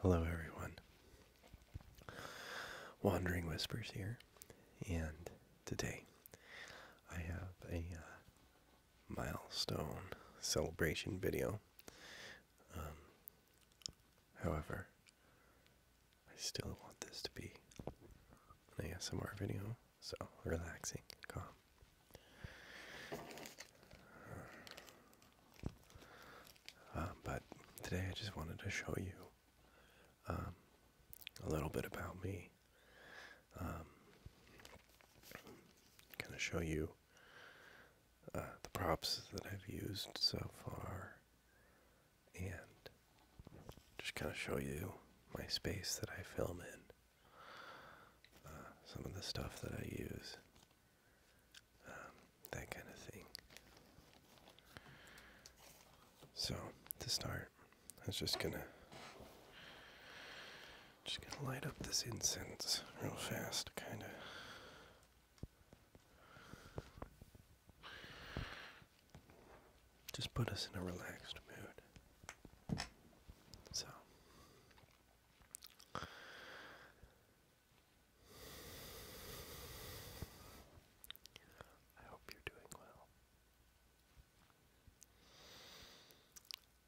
Hello, everyone. Wandering Whispers here, and today I have a uh, milestone celebration video um, however, I still want this to be an ASMR video, so relaxing, calm. Uh, but today I just wanted to show you um, a little bit about me. Um, kind of show you uh, the props that I've used so far and just kind of show you my space that I film in. Uh, some of the stuff that I use, um, that kind of thing. So to start, I was just gonna just gonna light up this incense real fast, kind of just put us in a relaxed mood. So. I hope you're doing well.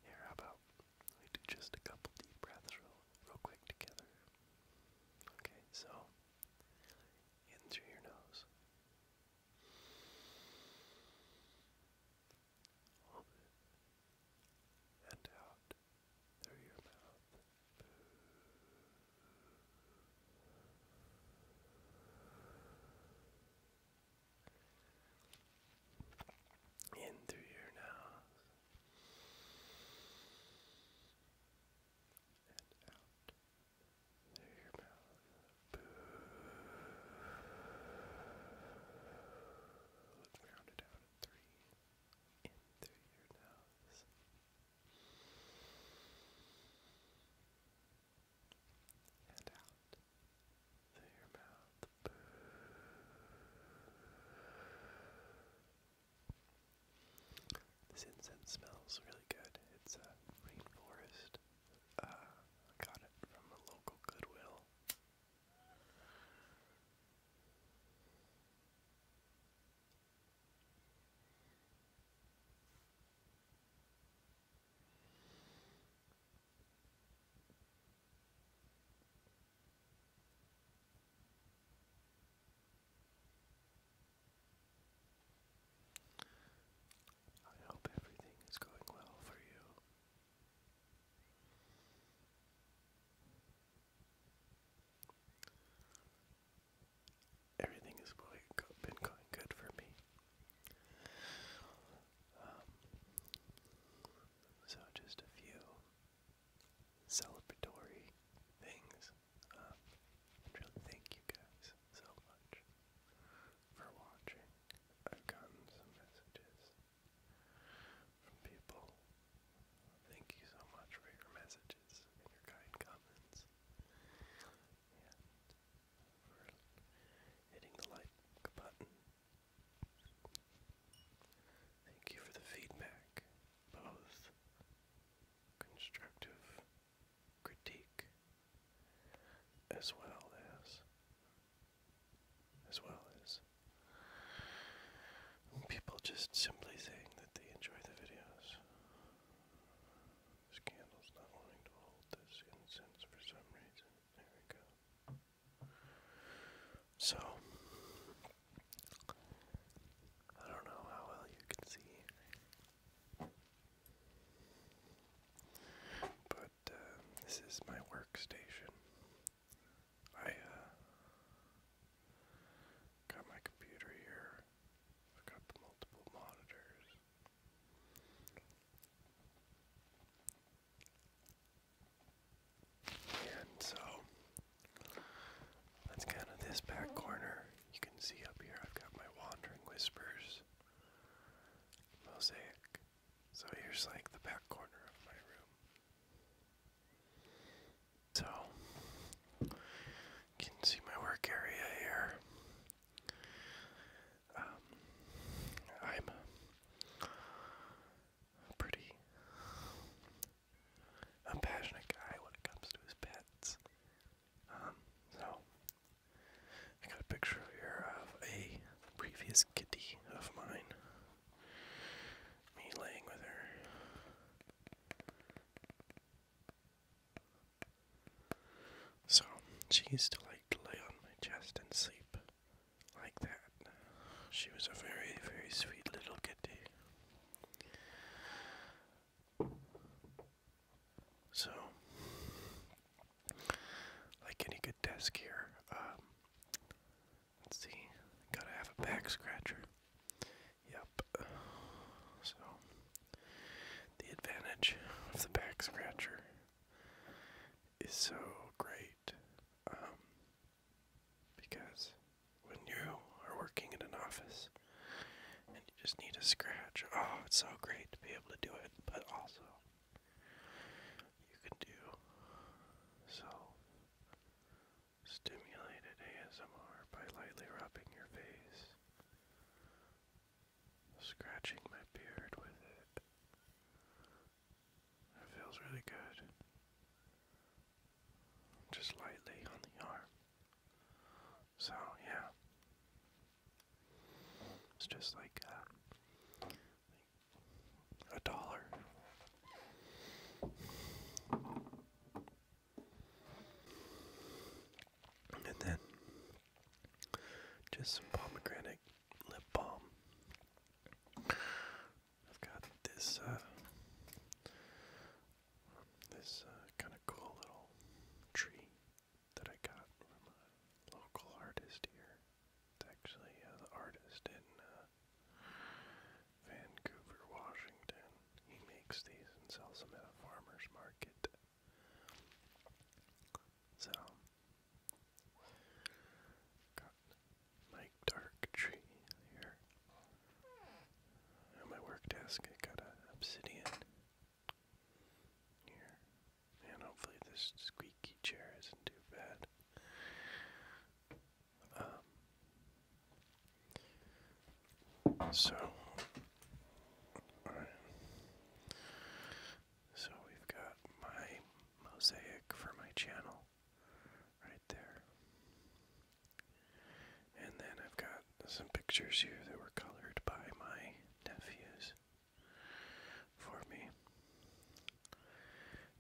Here, how about we do just a couple deep breaths real, real quick together. Okay, so in through your nose. And out through your mouth. In through your nose and out through your mouth. Boo. let out at three. In through your nose. And out through your mouth. Boo. This incense smells really good. It's a rainforest. Uh, I got it from a local Goodwill. I hope everything is going well for you. Everything has been going good for me. Um, so, just a few celebratory things. Um, really thank you guys so much for watching. I've gotten some messages from people. Thank you so much for your messages and your kind comments. And for hitting the like button. Thank you for the feedback both constructive critique as well as as well as people just simply saying that they enjoy the videos. This not wanting to hold this incense for some reason. There we go. So, I don't know how well you can see, but uh, this is my workstation. I uh, got my computer here, i got the multiple monitors. And so that's kind of this back corner. You can see up here I've got my Wandering Whispers mosaic. So here's like the back corner of my room. So you can see my work area here. Um, I'm pretty a passionate guy when it comes to his pets. Um, so I got a picture here of a previous kitty of mine. Me laying with her. So she used to like to lay on my chest and sleep like that. She was a very, very sweet little kitty. So, like any good desk here, um, let's see, gotta have a back scratcher. Yep. So, the advantage of the back scratcher is so great. Um, because when you are working in an office and you just need a scratch, oh, it's so great to be able to do it, but also you can do so stimulated ASMR by lightly rubbing your face, scratching my beard with it. It feels really good just lightly on the arm. So, yeah. It's just like uh, a dollar. And then just some pomegranate lip balm. I've got this uh, this uh, kind of cool little tree that I got from a local artist here. It's actually uh, the artist in uh, Vancouver, Washington. He makes these and sells them at a farmer's market. So, got my dark tree here on my work desk. I got a obsidian here, and hopefully this squeaky chair isn't too bad. Um, so, So we've got my mosaic for my channel right there. And then I've got some pictures here that were colored by my nephews for me.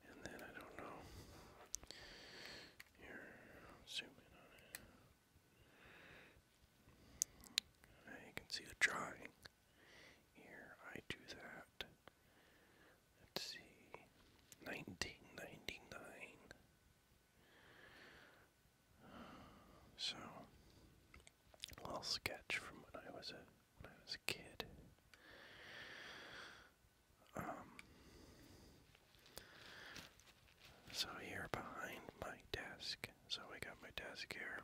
And then I don't know. Here, zoom in on it. Now you can see a drawing. Here I do that. Let's see. 1999. So, a little sketch from when I was a when I was a kid. Um, so here behind my desk, so I got my desk here.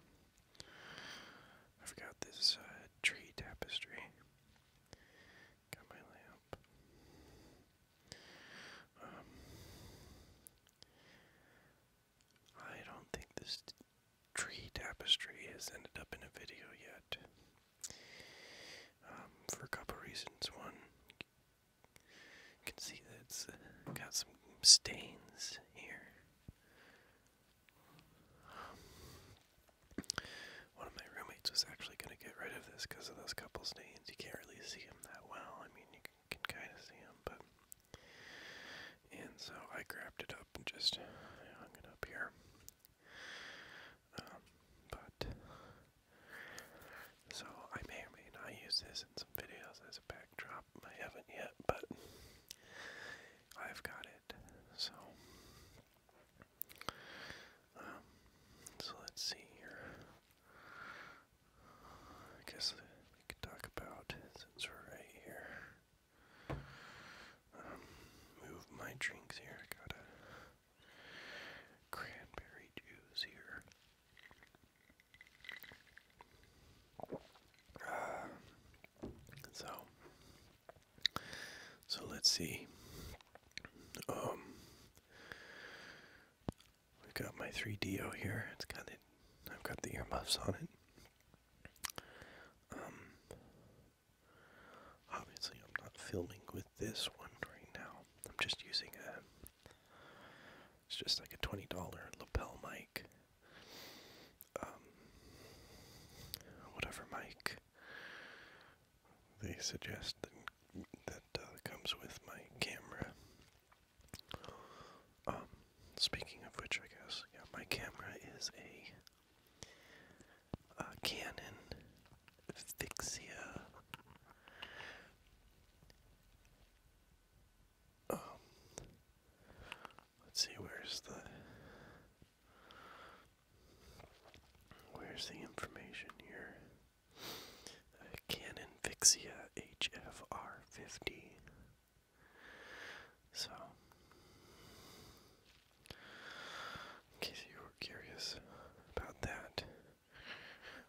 I've got this uh, tree tapestry. Got my lamp. Um, I don't think this tree tapestry has ended up in a video yet. Um, for a couple reasons. One, you can see that it's uh, got some stains here. Um, one of my roommates was actually going to get rid of this because of those couple stains. You can't really see that well. I mean, you can, kind of see him, but. And so I grabbed it up and just hung it up here. Um, but. So I may or may not use this in some videos as a backdrop. I haven't yet, but I've got it. So. Um, so let's see here. I guess we could talk about since we're right here. Um, move my drinks here. I got a cranberry juice here. Uh, so, so let's see. Um, I've got my 3DO here. It's got it. I've got the earmuffs on it. Um, obviously, I'm not filming with this one right now. I'm just using a. It's just like a $20 lapel mic. Um, whatever mic they suggest that that uh, comes with my camera. Um, speaking of which, I guess, yeah, my camera is a, Canon Fixia. Um, let's see, where's the where's the information here? Canon Vixia HFR50. So, in case you were curious about that,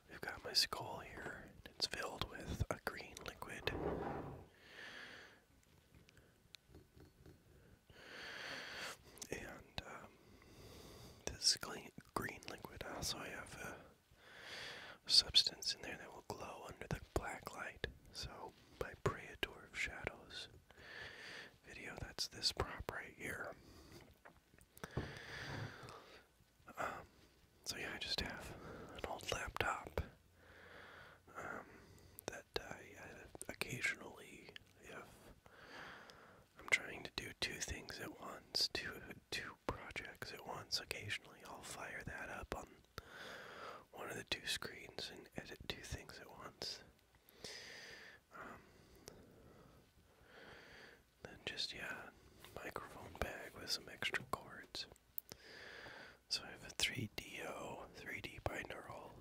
we've got my skull here. It's filled with a green liquid. And um, this green liquid also I have a substance in there that will glow under the black light. So, by Praetor of Shadows video, that's this prop right here. Um, so yeah, I just have an old laptop um, that I occasionally, if I'm trying to do two things at once, to two projects at once. Occasionally, I'll fire that up on one of the two screens and edit two things at once. Um, then just, yeah, microphone bag with some extra cords. So I have a 3DO, 3D binaural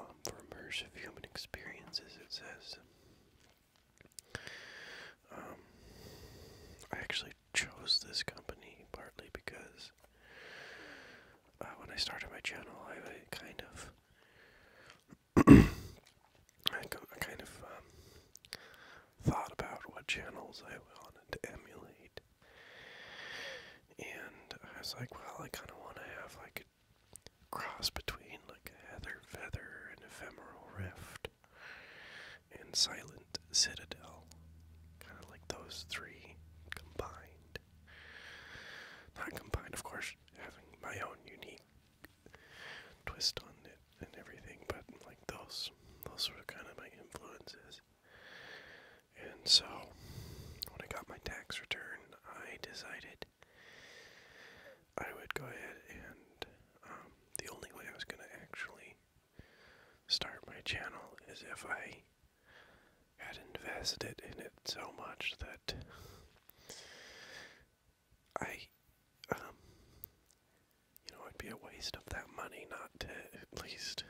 um, for immersive human experiences, it says. Um, I actually chose this company partly because uh, when I started my channel, I, kind of, I, kind of um, thought about what channels I wanted to emulate, and I was like, well, I kind of want to have like a cross between like a heather feather and ephemeral rift and Silent Citadel. Kind of like those three combined. Not combined, of course, having my own unique twist on it and everything, but like those, those were kind of my influences. And so, when I got my tax return, I decided I would go ahead and um, the only way I was going to actually start my channel is if I had invested in it so much that I, um, you know, it'd be a waste of that money not to at least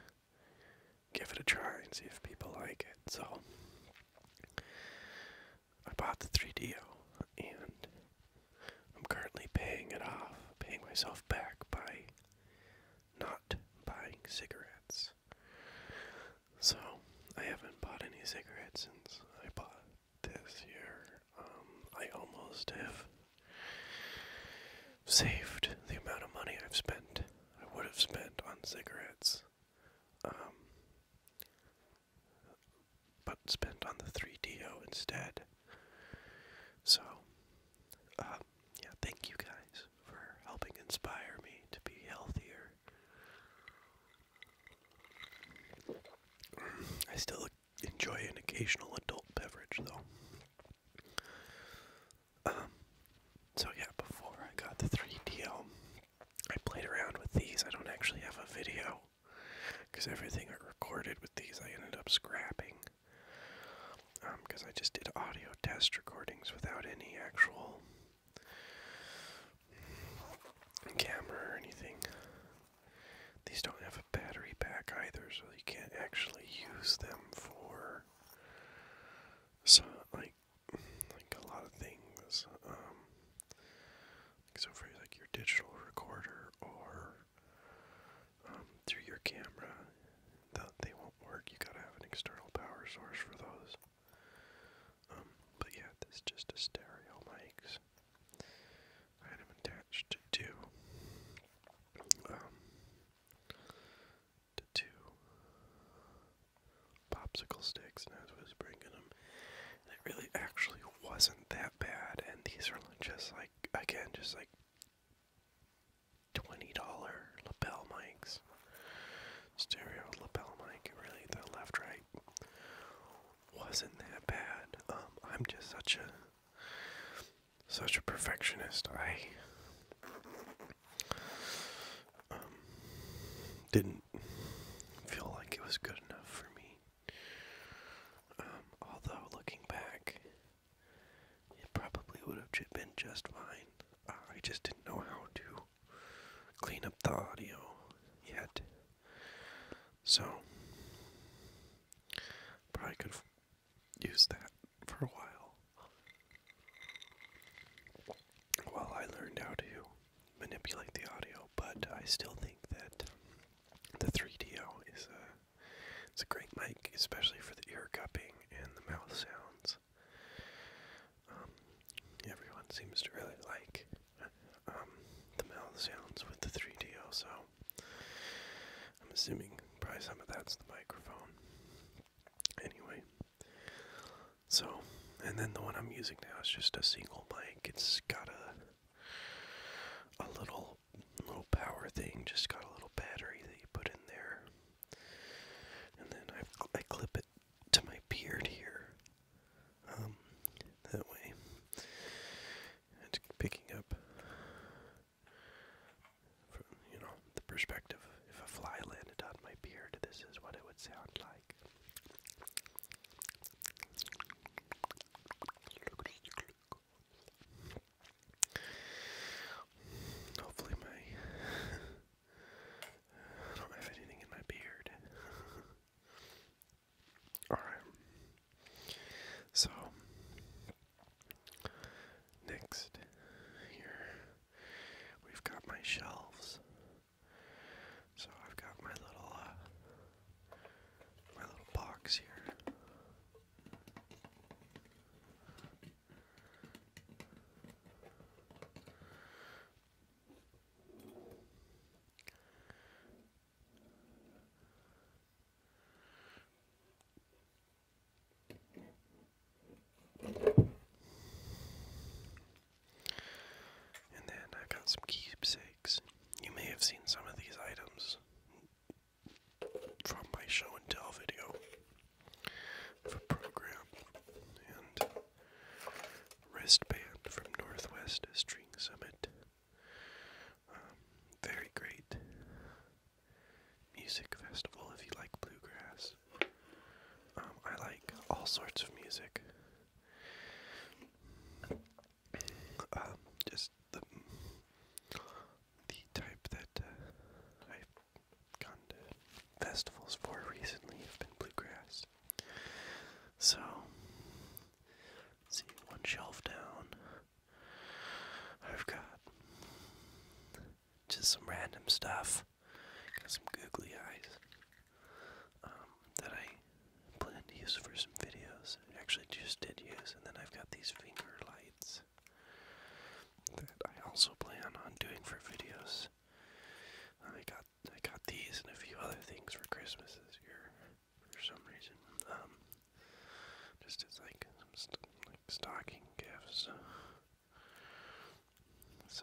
give it a try and see if people like it. So I bought the 3DO and I'm currently paying it off, paying myself back by not buying cigarettes. So, I haven't bought any cigarettes since I bought this year. Um, I almost have saved the amount of money I've spent, I would have spent on cigarettes. Um, but spent on the 3DO instead. So, uh, yeah, thank you guys for helping inspire me to be healthier. I still enjoy an occasional adult beverage, though. Um, so, yeah, before I got the 3 O, I played around with these. I don't actually have a video because everything I recorded with these I ended up scrapping. Because um, I just did audio test recordings without any actual camera or anything. These don't have a battery pack either, so you can't actually use them for so like like a lot of things. Um, so for like your digital recorder or um, through your camera. they won't work. You gotta have an external power source for those. Um, but yeah, this just a stereo mics. I had attached to um, to two popsicle sticks, and I was bringing them. it really actually wasn't that bad. And these are just like like again just like $20 lapel mics stereo lapel mic really the left right wasn't that bad um, i'm just such a such a perfectionist i um, didn't feel like it was good enough for me um, although, looking back, it probably would have been just fine. Uh, I just didn't know how to clean up the audio yet. So, probably could use that for a while. While I learned how to manipulate the audio, but I still think that the 3DO is a it's a great mic, especially for the ear cupping and the mouth sounds. Um, everyone seems to really like um, the mouth sounds with the 3D also. I'm assuming probably some of that's the microphone. Anyway, so, and then the one I'm using now is just a single mic. It's got a a little little power thing. Just got a little battery that you put in there, and then I I clip it to my beard here. Um, that way, it's picking up from you know the perspective. If a fly landed on my beard, this is what it would sound like. Hopefully my I don't have anything in my beard. Alright. So next here we've got my shelves. So I've got my little uh, my little box here. And then I got some keepsakes. You may have seen some of these items from my show and tell video for program and wristband from Northwest String Summit. Um, very great music festival if you like bluegrass. Um, I like all sorts of music. Um, just the the type that uh, I've gone to festivals for recently have been bluegrass. So, see, one shelf down, I've got just some random stuff. Got some googly eyes um, that I plan to use for some videos. actually just did use, and then I've got these finger lights that I also plan on doing for videos. I got I got these and a few other things for Christmas this year for some reason. Um, just as like some like stocking gifts. So.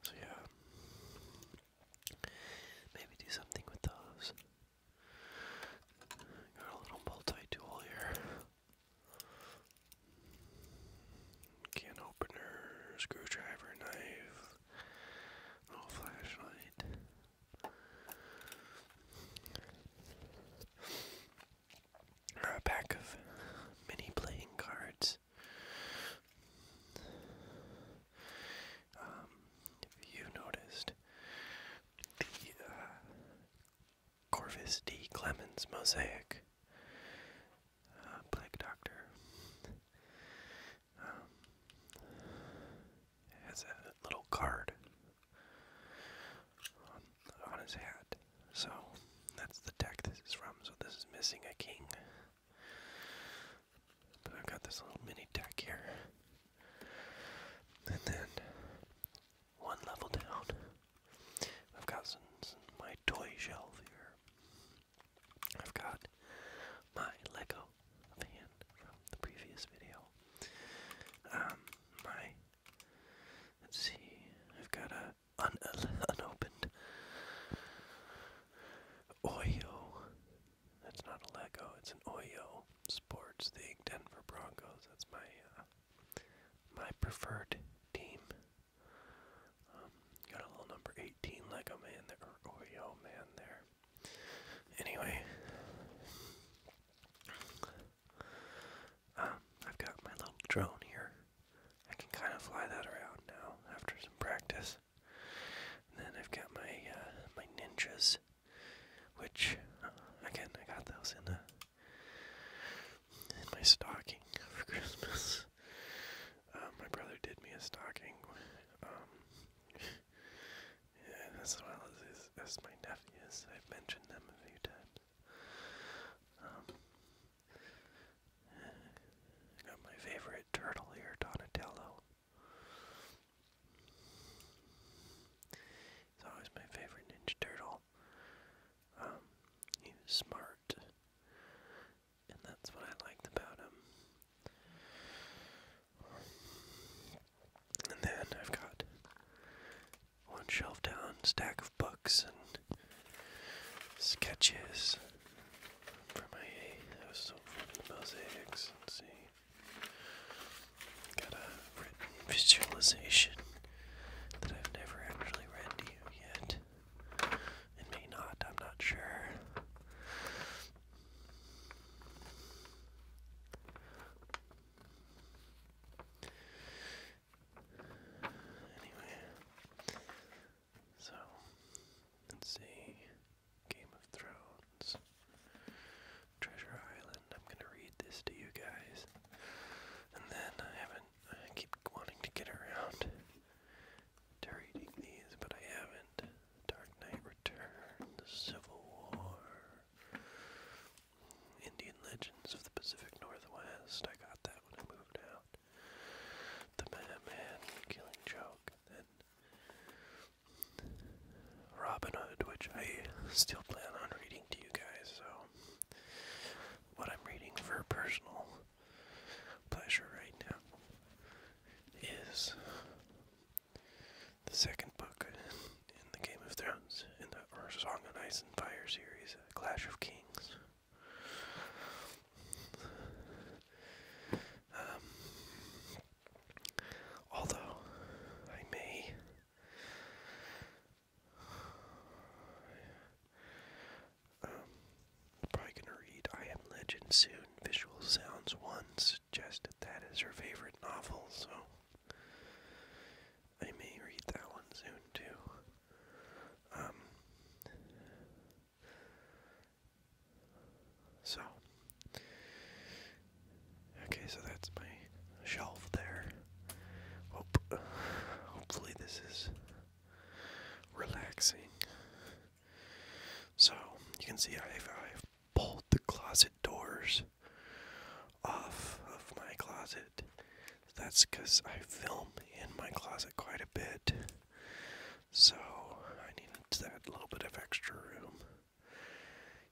So yeah, maybe do something with those. Got a little multi-tool here. Can opener, screwdriver, knife, little flashlight. Or a pack of mini playing cards. Um, you noticed, the uh, Corvus D. Clemens mosaic, uh, Plague Doctor. Um, has a little card on, on his hat. So that's the deck this is from. So this is missing a king. But I've got this little mini deck here. And then one level down, I've got my toy shelf here. I've got my Lego van from the previous video. Um, my. Let's see. I've got a unopened Oyo. That's not a Lego. It's an Oyo Sports League Denver Broncos. That's my uh, my preferred team. Um, got a little number 18 Lego Man there, Oyo Man there. Anyway, um, I've got my little drone here. I can kind of fly that around now after some practice. And then I've got my uh, my ninjas, which uh, again I got those in a in my stocking for Christmas. Uh, my brother did me a stocking. Um, yeah, as well as his, as my nephews. I've mentioned them a few times. Um, got my favorite turtle here, Donatello. He's always my favorite Ninja Turtle. Um, he was smart, and that's what I liked about him. And then I've got one shelf down, stack of books and sketches for my those from mosaics. Let's see. Got a written visualization that I've never actually read to you yet. It may not, I'm not sure. Anyway, so let's see. Game of Thrones, Treasure Island. I'm gonna read this to you guys, and then I haven't. I keep wanting to get around to these, but I haven't. Dark Knight Returns, Civil War, Indian Legends of the Pacific Northwest. I got that when I moved out. The Madman Killing Joke. And Robin Hood, which I still plan on reading to you guys. So, what I'm reading for personal pleasure right now is the second book in the Game of Thrones, in the or Song of Ice and Fire series, uh, Clash of Kings. Um, although I may, um, probably gonna read I Am Legend soon. Visual Sounds One suggested that as her favorite novel, so I may read that one soon too. Um, so, okay, so that's my shelf there. Hope, hopefully, this is relaxing. So, you can see I've, i pulled the closet doors off of my closet. That's because I film in my closet quite a bit. So I needed that little bit of extra room.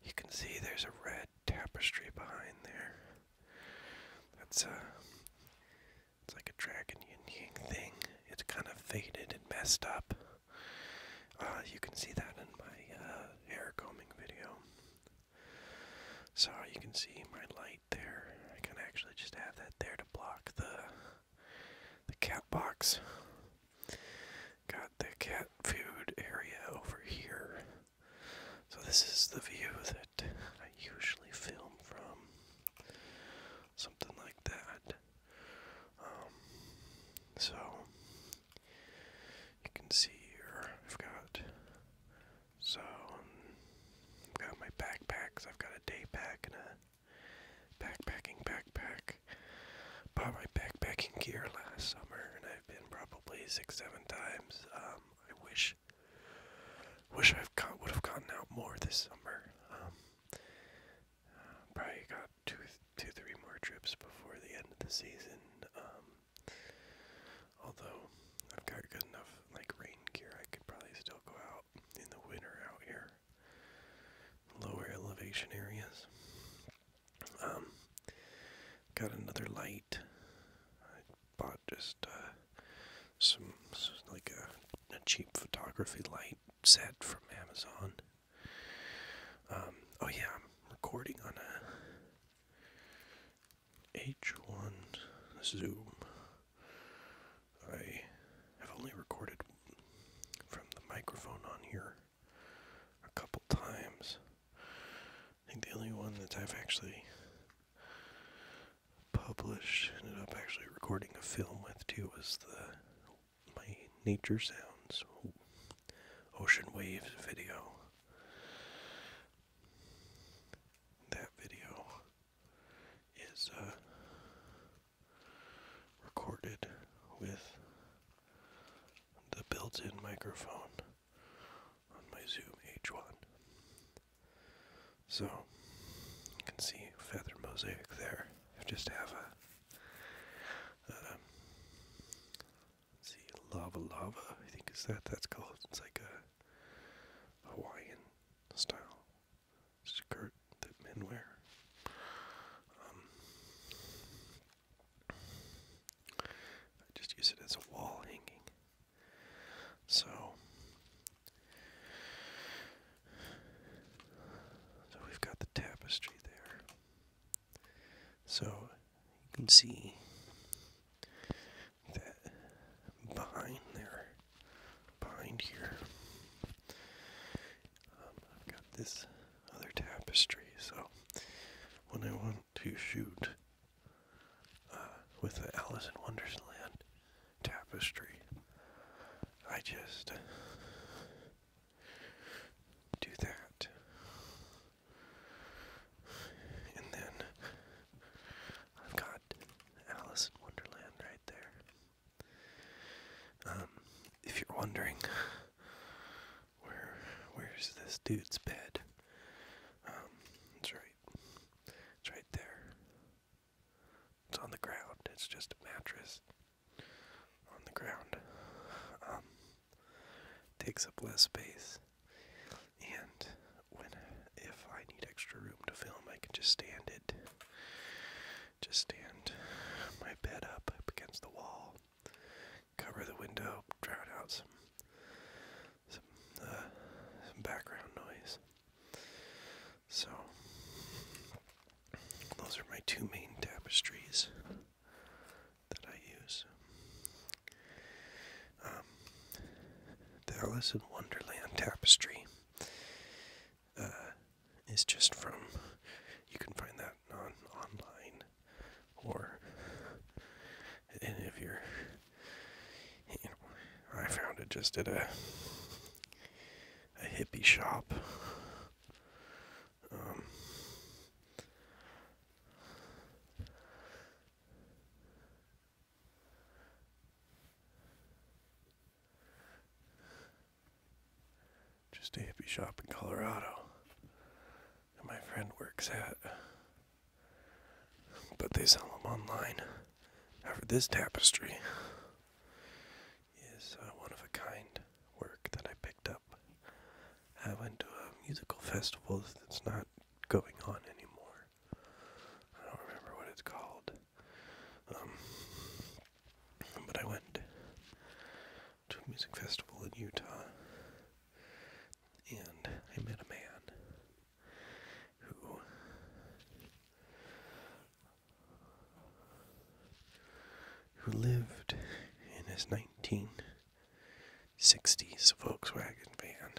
You can see there's a red tapestry behind there. That's a uh, it's like a dragon yin yang thing. It's kind of faded and messed up. Uh, you can see that in my hair uh, combing video. So you can see my light there. I can actually just have that there to block the the cat box. Got the cat food area over here. So this is the view that I usually film from. Something like that. Um, so you can see here I've got so, um, I've got my backpacks. I've got a day pack and a backpacking backpack. Bought my backpacking gear last summer, and I've been probably six, seven times. Um, I wish, wish I've got would have gone out more this summer. Um, uh, probably got two, two, three more trips before the end of the season. Um, Although I've got good enough like rain gear, I could probably still go out in the winter out here, lower elevation areas. Um, got another light. I bought just uh, some like a, cheap photography light set from Amazon. Um, oh yeah, I'm recording on a H1 Zoom. I have only recorded from the microphone on here a couple times. I think the only one that I've actually published, ended up actually recording a film with too, was the my nature sounds ocean waves video that video is uh, recorded with the built-in microphone on my Zoom H1. So you can see feather mosaic there. just have a um, see, lava lava. I think is that that's called. It's like a Hawaiian style skirt that men wear. Um, I just use it as a wall hanging. So, so we've got the tapestry there. So you can see that behind there, behind here, um, I've got this other tapestry. So when I want to shoot uh, with the Alice in Wonderland tapestry, I just do that and then I've got Alice in Wonderland right there. Um, if you're wondering where where's this dude's bed, um, it's right, it's right there. It's on the ground. It's just a mattress on the ground. Um, takes up less space. And when if I need extra room to film, I can just stand it. Just stand my bed up, against the wall, cover the window, drown out some uh, some background noise. So those are my two main tapestries that I use. Um, Alice in Wonderland tapestry uh, is just from. You can find that on online or at any of your. You know, I found it just at a a hippie shop. Um, just a hippie shop in Colorado that my friend works at. But they sell them online. for this tapestry is uh, one of a kind work that I picked up. I went to a musical festival that's not going on anymore. I don't remember what it's called. Um, but I went to a music festival in Utah and I met a man who who lived in his nineteen 60s Volkswagen van.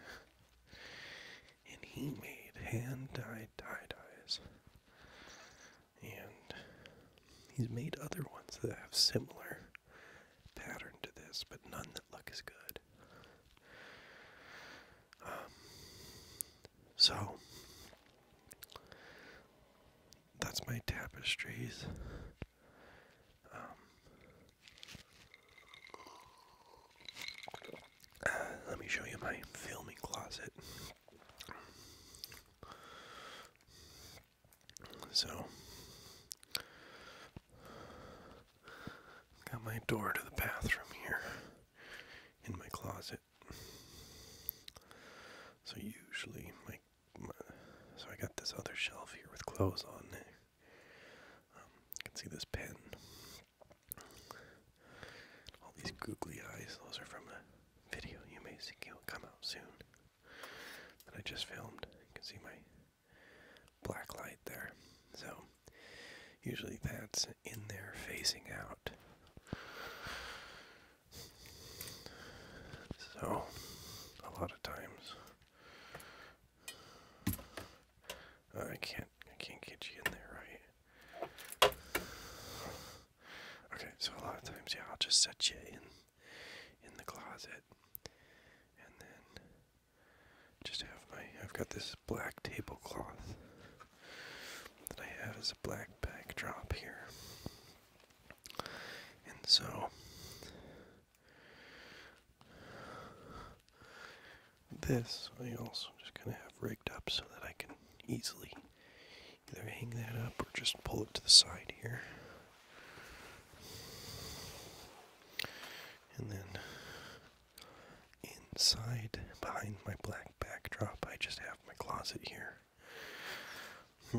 And he made hand dyed tie dyes. And he's made other ones that have similar pattern to this, but none that look as good. Um, so, that's my tapestries. Um, uh, let me show you my filming closet. So, got my door to the bathroom here in my closet. So usually my, so I got this other shelf here with clothes on you um, can see this pen. All these googly eyes, those are from a video you may see will come out soon that I just filmed. You can see my black light there. So, usually that's in there phasing out. So, a lot of times uh, I can't. I can't get you in there, right? Okay, so a lot of times, yeah, I'll just set you in, in the closet, and then just have my. I've got this black tablecloth that I have as a black backdrop here, and so. This I also just kind of have rigged up so that I can easily either hang that up or just pull it to the side here. And then inside, behind my black backdrop, I just have my closet here.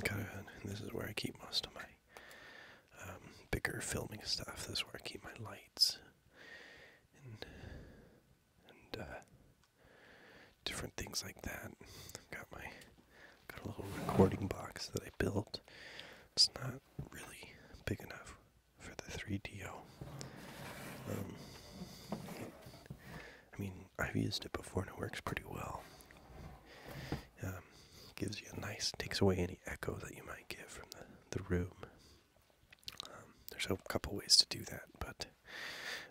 Kind this is where I keep most of my um, bigger filming stuff. This is where I keep my lights, and uh, different things like that. I've got my got a little recording box that I built. It's not really big enough for the 3 O. Um, I mean, I've used it before and it works pretty well. Um, gives you a nice, takes away any echo that you might get from the, the room. Um, there's a couple ways to do that, but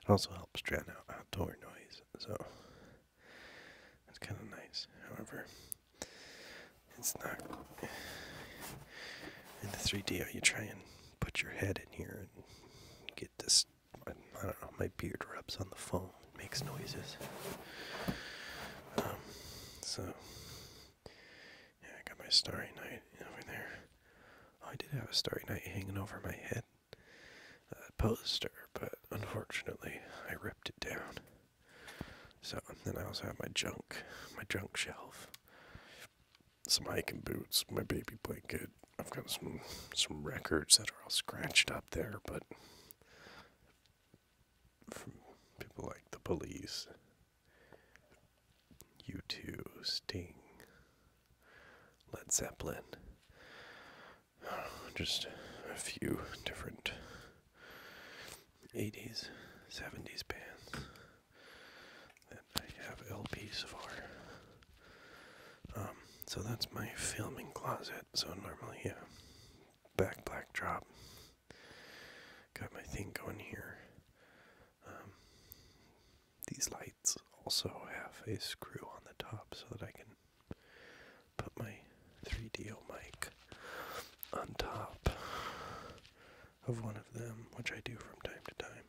it also helps drown out outdoor noise, so that's kind of nice. However, it's not in the 3D. You try and put your head in here and get this. I don't know. My beard rubs on the phone, it makes noises. Um, so yeah, I got my starry night over there. Oh, I did have a starry night hanging over my head uh, poster, but unfortunately I ripped it down. So then I also have my junk, my junk shelf, some hiking boots, my baby blanket. I've got some some records that are all scratched up there, but from people like the police U2, Sting, Led Zeppelin. just a few different 80s, 70s bands that I have LPs for. Um, so that's my filming closet. So normally, yeah, back black drop. Got my thing going here. Um, these lights also have a screw on the top so that I can put my 3DO mic on top of one of them, which I do from time to time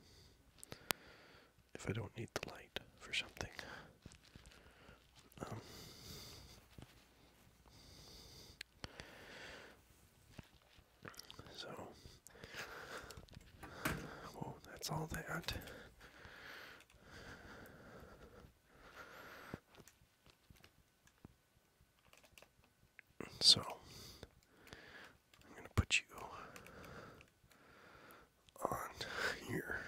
if I don't need the light for something. Um, so, whoa, that's all that. So, I'm going to put you on here.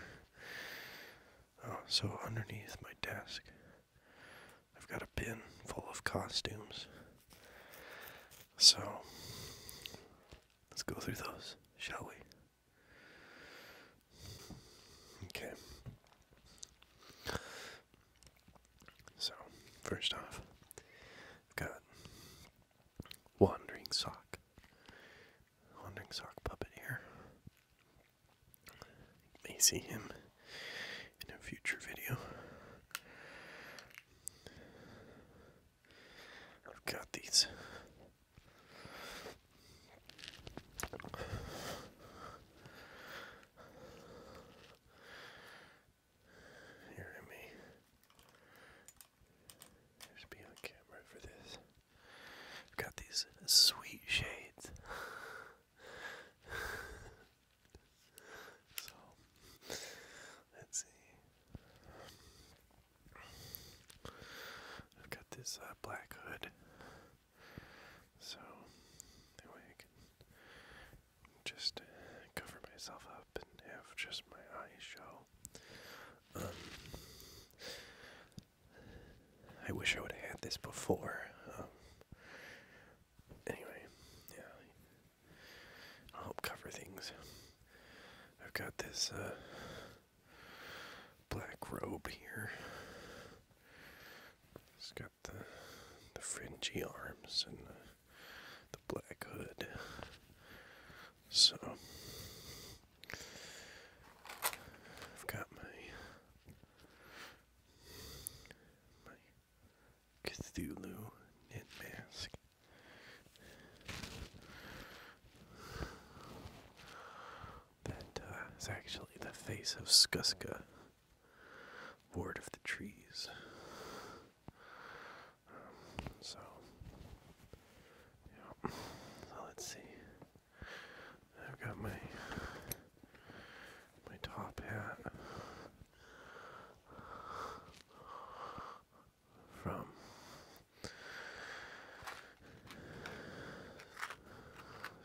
Oh, so underneath my desk, I've got a bin full of costumes. So let's go through those, shall we? Okay. So, first off, got Wandering Sock. Wandering Sock puppet here. may see him in a future video. I've got these. Here in me. There's be on camera for this. I've got these sweet shades. So, let's see. I've got this uh, black hood. So, that way I can just uh, cover myself up and have just my eyes show. Um, I wish I would have had this before. Um, anyway, yeah, I'll help cover things. I've got this uh, black robe here. It's got the the fringy arms and the, the black hood. So I've got my my Cthulhu knit mask. That uh, is actually the face of Skuska, Ward of the Trees. Um, so let's see. I've got my my top hat from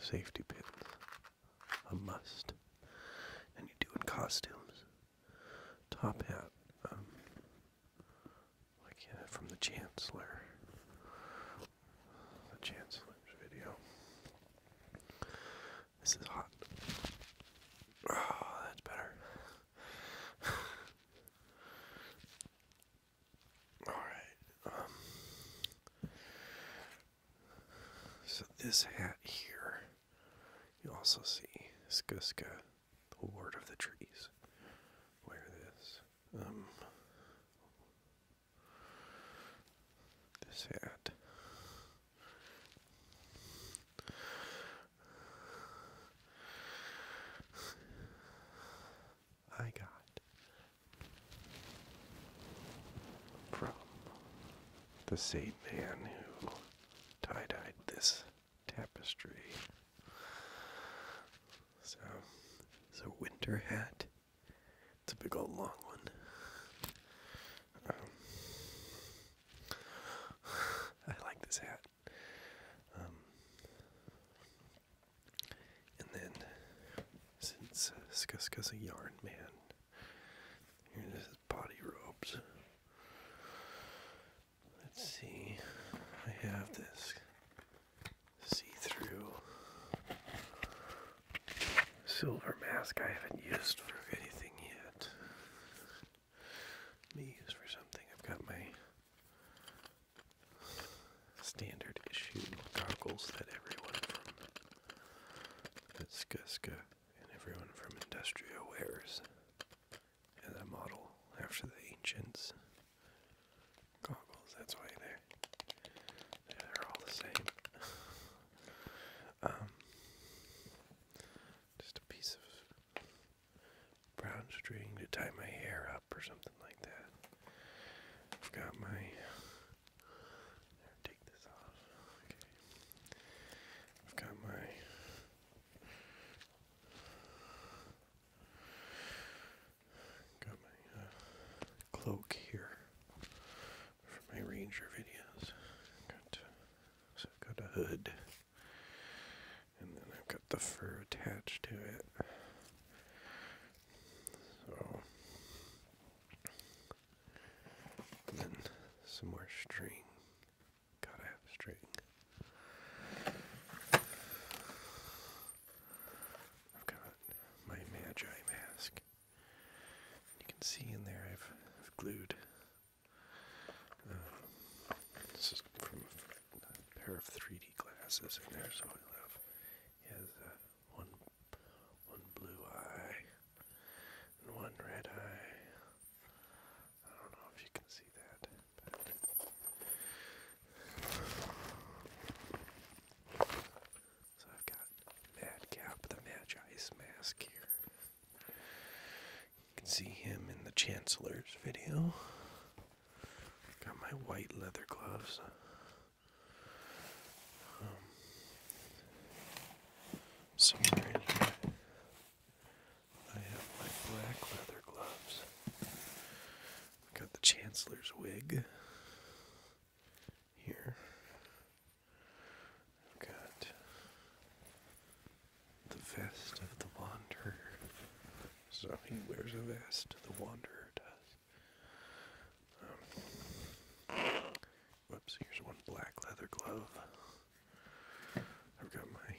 safety pins. A must. And you do in costumes. Top hat. Um, like yeah, from the Chancellor. The Chancellor's video. This is hot. Oh, that's better. Alright, um, so this hat here, you also see Skuska, the Lord of the Trees, wear this. Um, this hat I got from the same man who tie dyed this tapestry. So it's a winter hat. It's a big old long one. Um, I like this hat. Um, and then, since uh, Skuska's a yarn man, here's his body robes. Let's see, I have this see through silver mask I haven't used for anything yet use for something. I've got my standard issue goggles that everyone from Skuska and everyone from Industria wears And a model after the ancients. Goggles, that's why they're they're all the same. um, just a piece of brown string to tie my hair up or something like that. I've got my. take this off. Okay. I've got my. Got my uh, cloak here for my ranger videos. Got, so I've got a hood and then I've got the fur attached to it. So, then some more string. Gotta have string. I've got my Magi mask. You can see in there I've glued uh, this is from a pair of 3D glasses in there, so he have, has uh, one, one blue eye and one red eye. I don't know if you can see that, so I've got Madcap, the Magi Mask here. You can see him in the Chancellor's video. Got my white leather gloves. Um, I have my black leather gloves. got the Chancellor's wig here. got the vest of the wanderer. So he wears a vest, the wanderer does. Um, whoops, here's one black leather glove. I've got my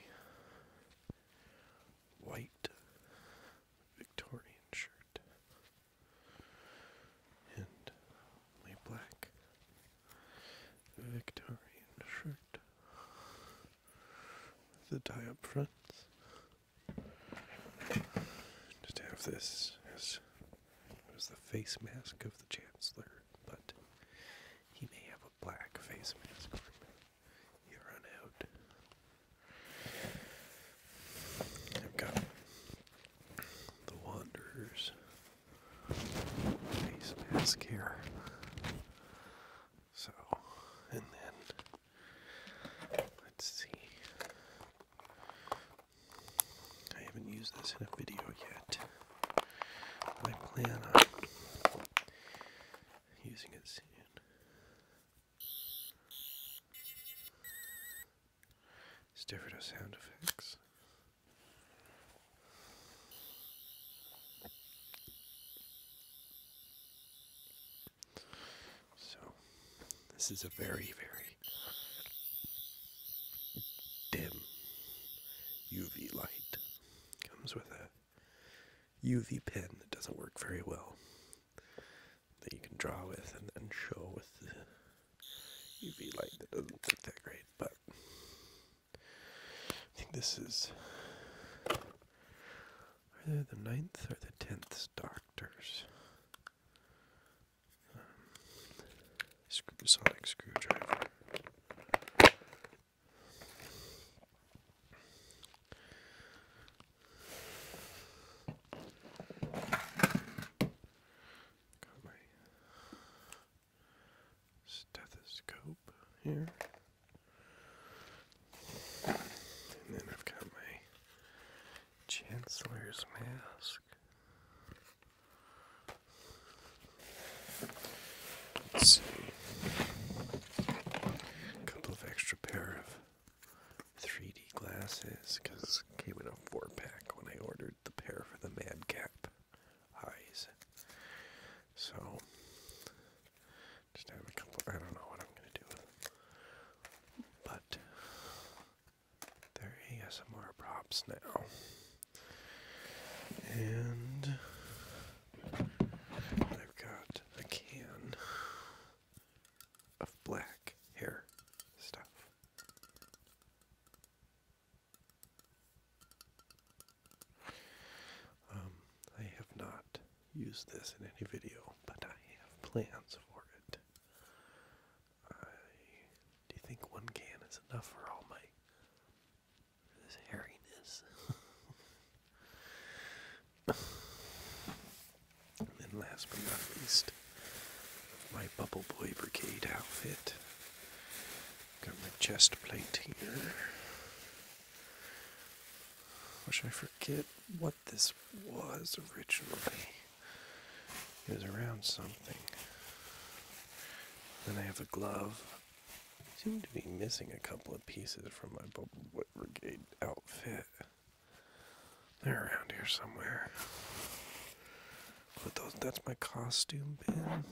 white Victorian shirt and my black Victorian shirt the die up front. Just have this as, as the face mask of the Chancellor, but he may have a black face mask from here out. I've got the Wanderer's face mask here. So, and then let's see. I haven't used this in a video yet. I plan on using it soon. It's different sound effects. So, this is a very, very dim UV light. Comes with a UV pen that doesn't work very well, that you can draw with and show with the UV light that doesn't look that great, but I think this is either the ninth or the tenth Doctor's um, screwdriver stethoscope here. And then I've got my Chancellor's mask. Let's see. A couple of extra pair of 3D glasses because came in a four pack when I ordered the pair for the mancap eyes. So, just have a couple, I don't know what I'm going to do But, they're ASMR props now. And, I've got a can of black hair stuff. Um, I have not used this in any video, but I have plans for it. I do you think one can is enough for all my hairiness? and then last but not least, my Bubble Boy Brigade outfit. Got my chest plate here which I forget what this was originally. It was around something. Then I have a glove. I seem to be missing a couple of pieces from my Bubble Wit Brigade outfit. They're around here somewhere. But those, that's my costume bin.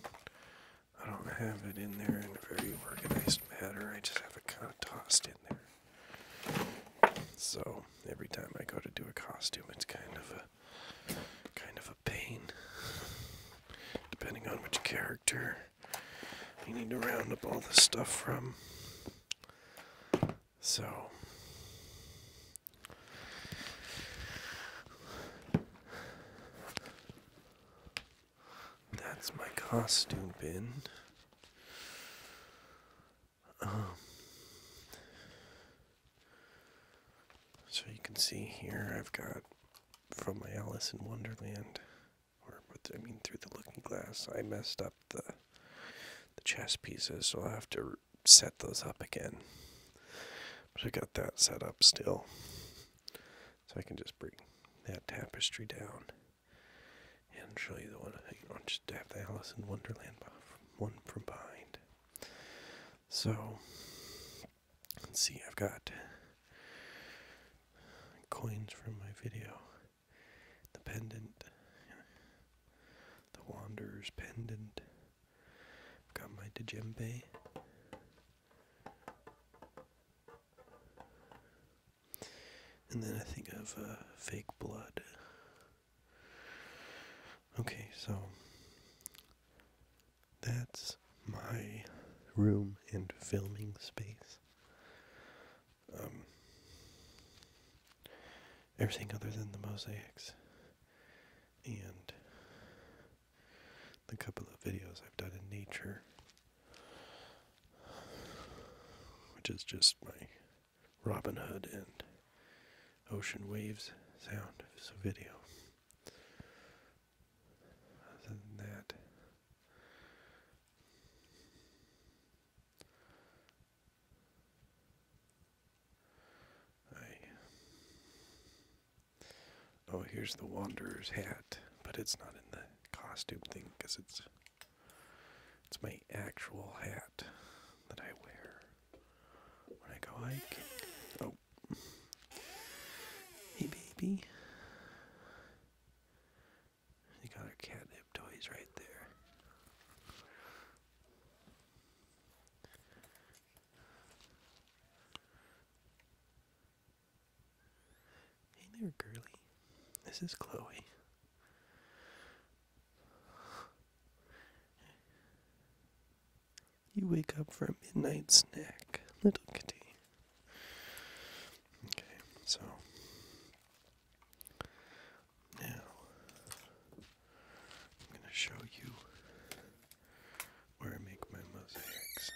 I don't have it in there in a very organized manner. I just have it kind of tossed in there. So every time I go to do a costume, it's kind of a kind of a pain, depending on which character you need to round up all this stuff from. So. That's my costume bin. Um, so you can see here, I've got from my Alice in Wonderland, or I mean through the Looking Glass. I messed up the the chess pieces, so i have to set those up again. But I got that set up still, so I can just bring that tapestry down and show you the one you know, just after Alice in Wonderland, one from behind. So, let's see, I've got coins from my video, the pendant, the Wanderer's pendant. I've got my djembe. And then I think of uh, fake blood. Okay, so that's my room and filming space. Um, everything other than the mosaics and the couple of videos I've done in nature which is just my Robin Hood and ocean waves sound. So video. Other than that. I, oh, here's the Wanderer's hat, but it's not in the costume thing because it's it's my actual hat that I wear when I go hiking. Oh. Hey, baby. You got her catnip toys right there. Hey there, girly. This is Chloe. You wake up for a midnight snack, little kitty. Okay, so now I'm going to show you where I make my mosaics.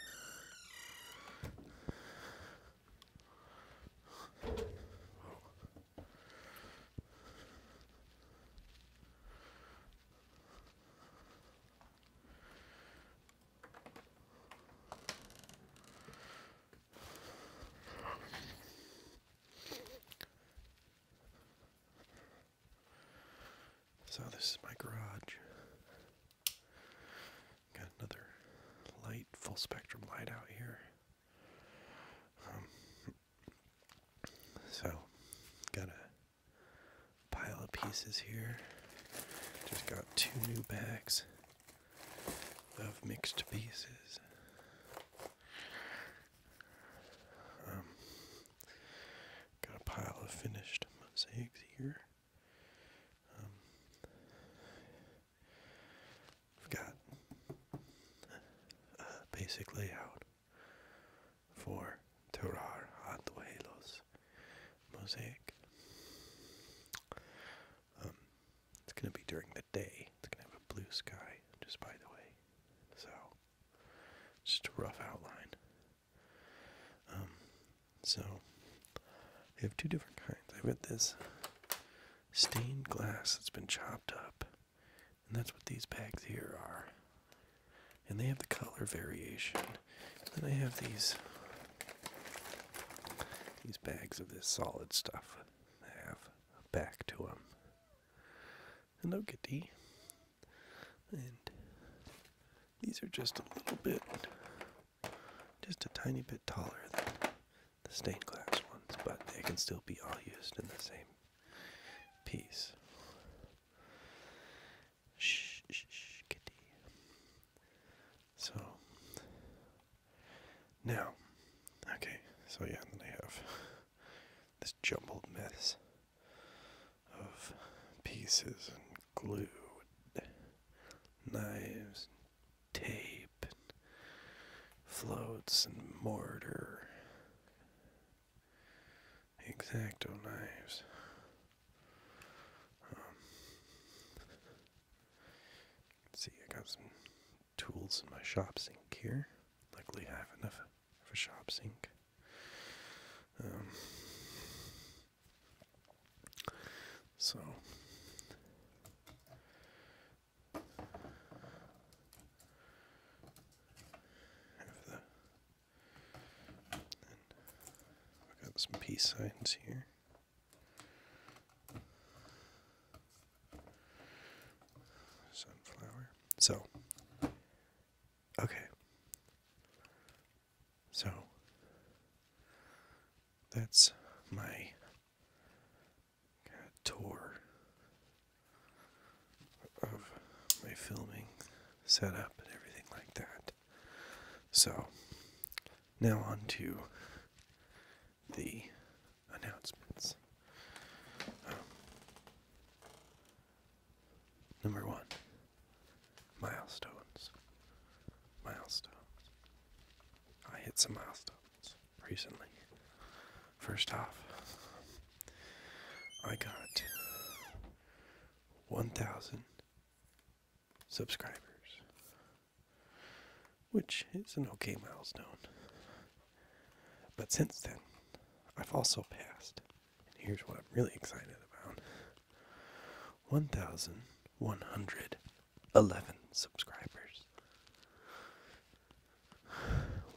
So this is my garage. Got another light, full spectrum light out here. Um, so, got a pile of pieces here. Just got two new bags of mixed pieces. Um, got a pile of finished mosaics here. Um, we've got uh, basic layout for Terrar Anduelos mosaic. Um, it's going to be during the day. It's going to have a blue sky, just by the way. So, just a rough outline. Um, so, I have two different kinds. I've got this stained glass that's been chopped up, and that's what these bags here are. And they have the color variation. And then I have these these bags of this solid stuff that have a back to them. And they'll get and these are just a little bit just a tiny bit taller than the stained glass ones, but they can still be all used in the same piece. Shh, kitty. So, now, okay, so yeah, then I have this jumbled mess of pieces and glue, and knives, tape floats and mortar. Exacto knives. Um, see, I got some tools in my shop sink here. Luckily, I have enough of a shop sink. Um, so, have got some peace signs here. Sunflower. So, okay. So, that's my tour of my filming setup and everything like that. So, now on to the announcements. Um, number one, milestones. Milestones. I hit some milestones recently. First off, I got 1,000 subscribers, which is an okay milestone. But since then, I've also passed, and here's what I'm really excited about 1,100 11 subscribers.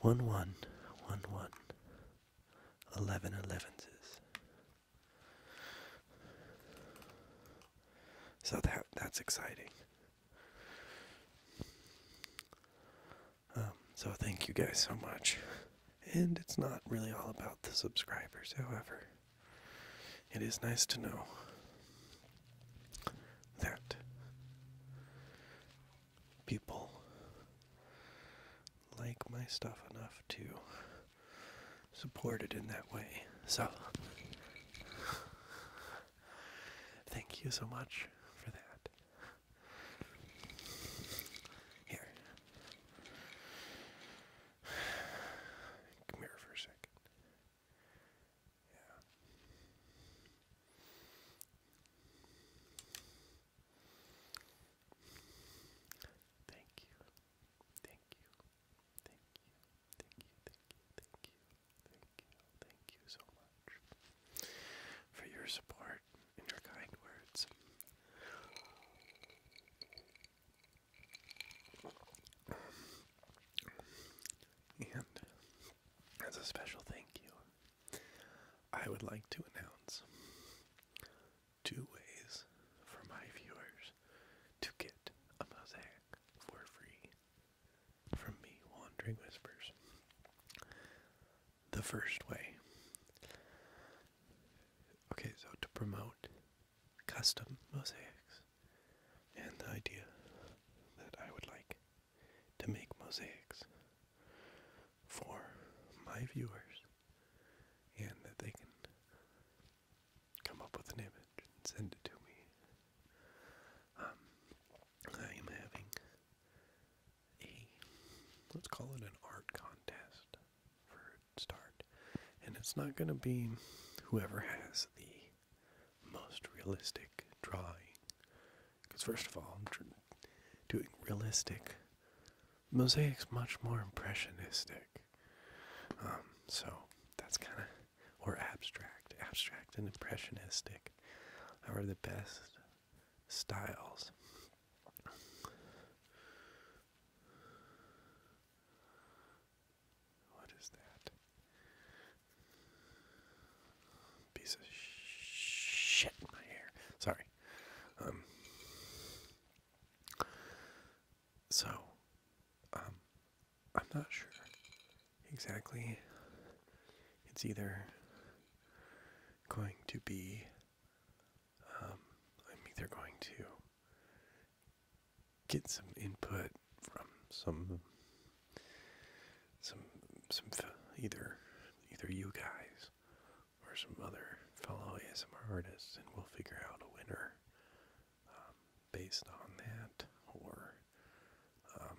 1 1 11 11s. So that that's exciting. Um, so thank you guys so much. And it's not really all about the subscribers, however. It is nice to know that people like my stuff enough to support it in that way. So, thank you so much for that. Here. Come here for a second. Thank you. Thank you. Thank you. Thank you. Thank you. Thank you. Thank you. Thank you so much for your support and your kind words. And as a special thank you, I would like to announce two ways for my viewers to get a mosaic for free from me, Wandering Whispers. The first way. Okay, so to promote custom mosaics, and the idea that I would like to make mosaics for my viewers and that they can come up with an image and send it to me. Um, I am having a, let's call it an art contest for start. And it's not going to be whoever has the most realistic drawing. Because, first of all, I'm doing realistic. Mosaic's much more impressionistic. Um, so that's kind of, or abstract. Abstract and impressionistic are the best styles. What is that? Piece of shit in my hair. Sorry. Um. So, um, I'm not sure exactly. It's either going to be, um, I'm either going to get some input from some some some either either you guys or some other fellow ASMR artists, and we'll figure out a winner um, based on that, or um,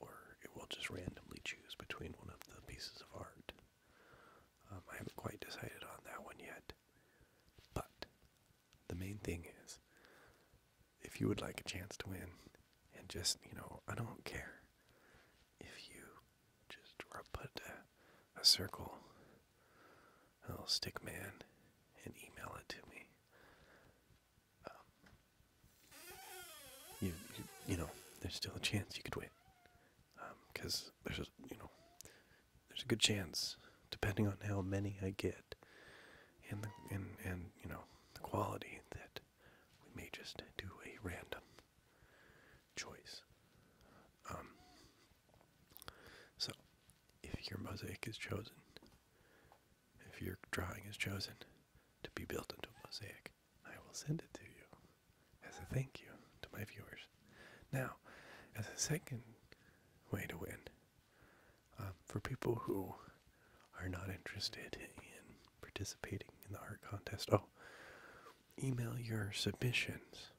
or it will just randomly choose between one of the pieces of art. Um, I haven't quite decided on that one yet, but the main thing is, if you would like a chance to win, and just you know I don't care if you just put a, circle, a little stick man, and email it to me. Um, you, you you know there's still a chance you could win because um, there's a you know there's a good chance depending on how many I get and the, and and you know the quality that we may just do a random choice. Um, so, if your mosaic is chosen, if your drawing is chosen to be built into a mosaic, I will send it to you as a thank you to my viewers. Now, as a second way to win, um, for people who are not interested in participating in the art contest, oh, email your submissions.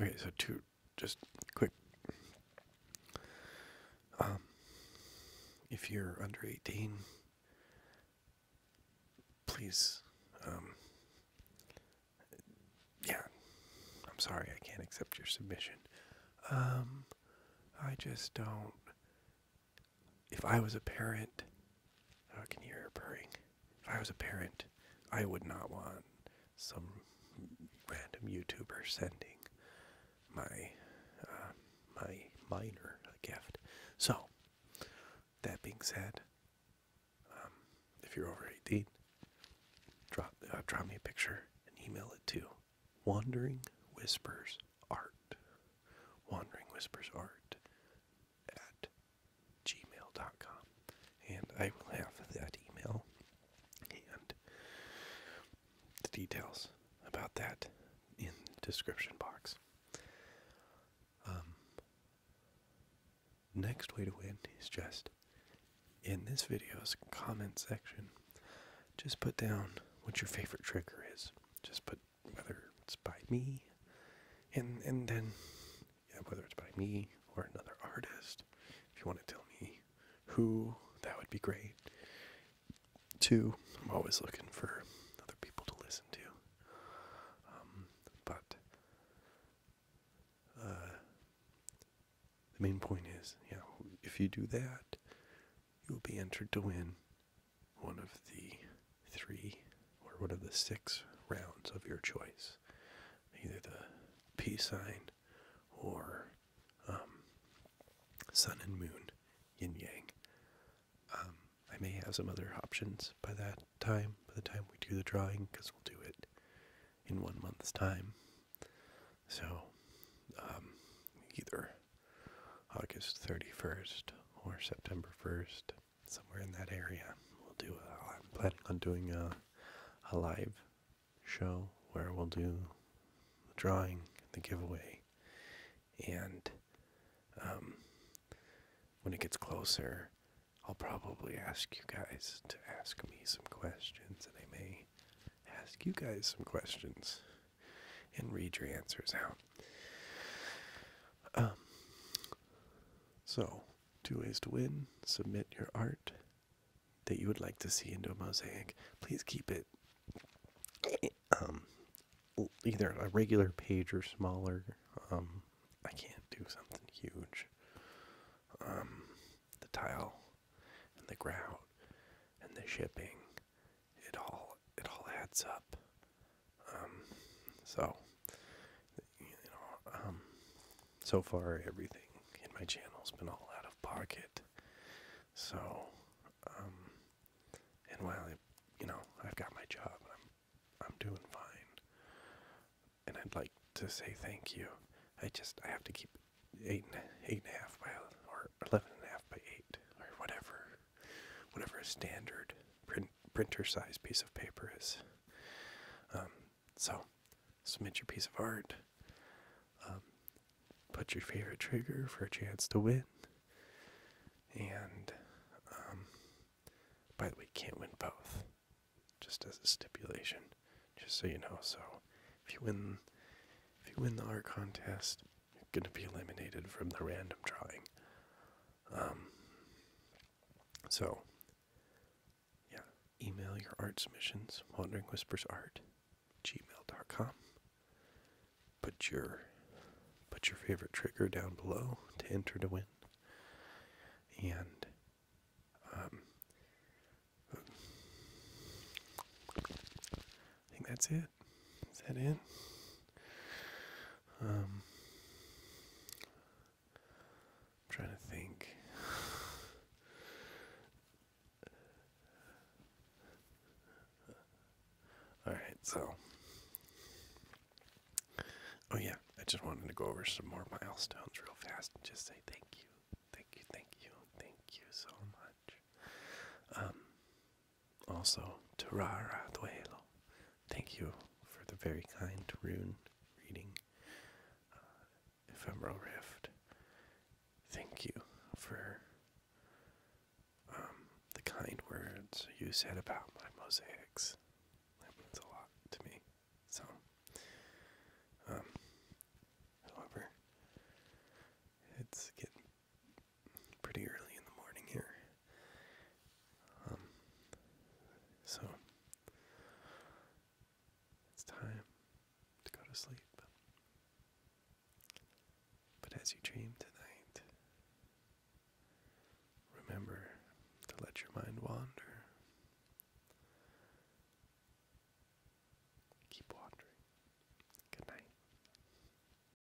Okay, so two, just quick. Um, if you're under 18, please, um, yeah, I'm sorry, I can't accept your submission. Um, I just don't if I was a parent, oh, I can hear purring. If I was a parent, I would not want some random YouTuber sending my uh, my minor a gift. So, that being said, um, if you're over 18, drop uh, me a picture and email it to wandering whispers art, wandering whispers art at gmail.com. And I will have that email and the details about that in the description box. Um, next way to win is just in this video's comment section, just put down what your favorite trigger is just put whether it's by me and and then yeah, whether it's by me or another artist if you want to tell me who that would be great too i'm always looking for other people to listen to um, but uh, the main point is yeah if you do that you'll be entered to win one of the three or one of the six rounds of your choice, either the P sign or um, sun and moon, yin yang. Um, I may have some other options by that time, by the time we do the drawing, because we'll do it in one month's time. So, um, either August 31st or September 1st, somewhere in that area. We'll do. A, I'm planning on doing a a live show where we'll do drawing, the giveaway, and um, when it gets closer, I'll probably ask you guys to ask me some questions, and I may ask you guys some questions and read your answers out. Um, so, two ways to win submit your art that you would like to see into a mosaic. Please keep it um, either a regular page or smaller. Um, I can't do something huge. the tile and the grout and the shipping, it all it all adds up. Um, so you know, um, so far everything in my channel's been all out of pocket. So, um, and while it, you know I've got my job, I'm I'm doing fine, and I'd like to say thank you. I just I have to keep eight eight and a half by or eleven and a half by eight or whatever whatever a standard printer size piece of paper is. Um, so, submit your piece of art, um, put your favorite trigger for a chance to win, and um, by the way, can't win both, just as a stipulation, just so you know. So, if you win if you win the art contest, you're going to be eliminated from the random drawing. Um, so, yeah, email your art submissions, wandering whispers art, gmail.com. Put your put your favorite trigger down below to enter to win. And um, I think that's it. Is that it? Um, I'm trying to think. All right, so. Oh, yeah, I just wanted to go over some more milestones real fast and just say thank you, thank you, thank you, thank you so much. Um, also, Tarara Duello, Thank you for the very kind rune reading. Uh, ephemeral Rift. Thank you for um, the kind words you said about my mosaics. That means a lot to me. So, um, however, it's getting pretty early in the morning here. Um, so it's time to go to sleep. But as you dream tonight, remember to let your mind wander. Keep wandering. Good night.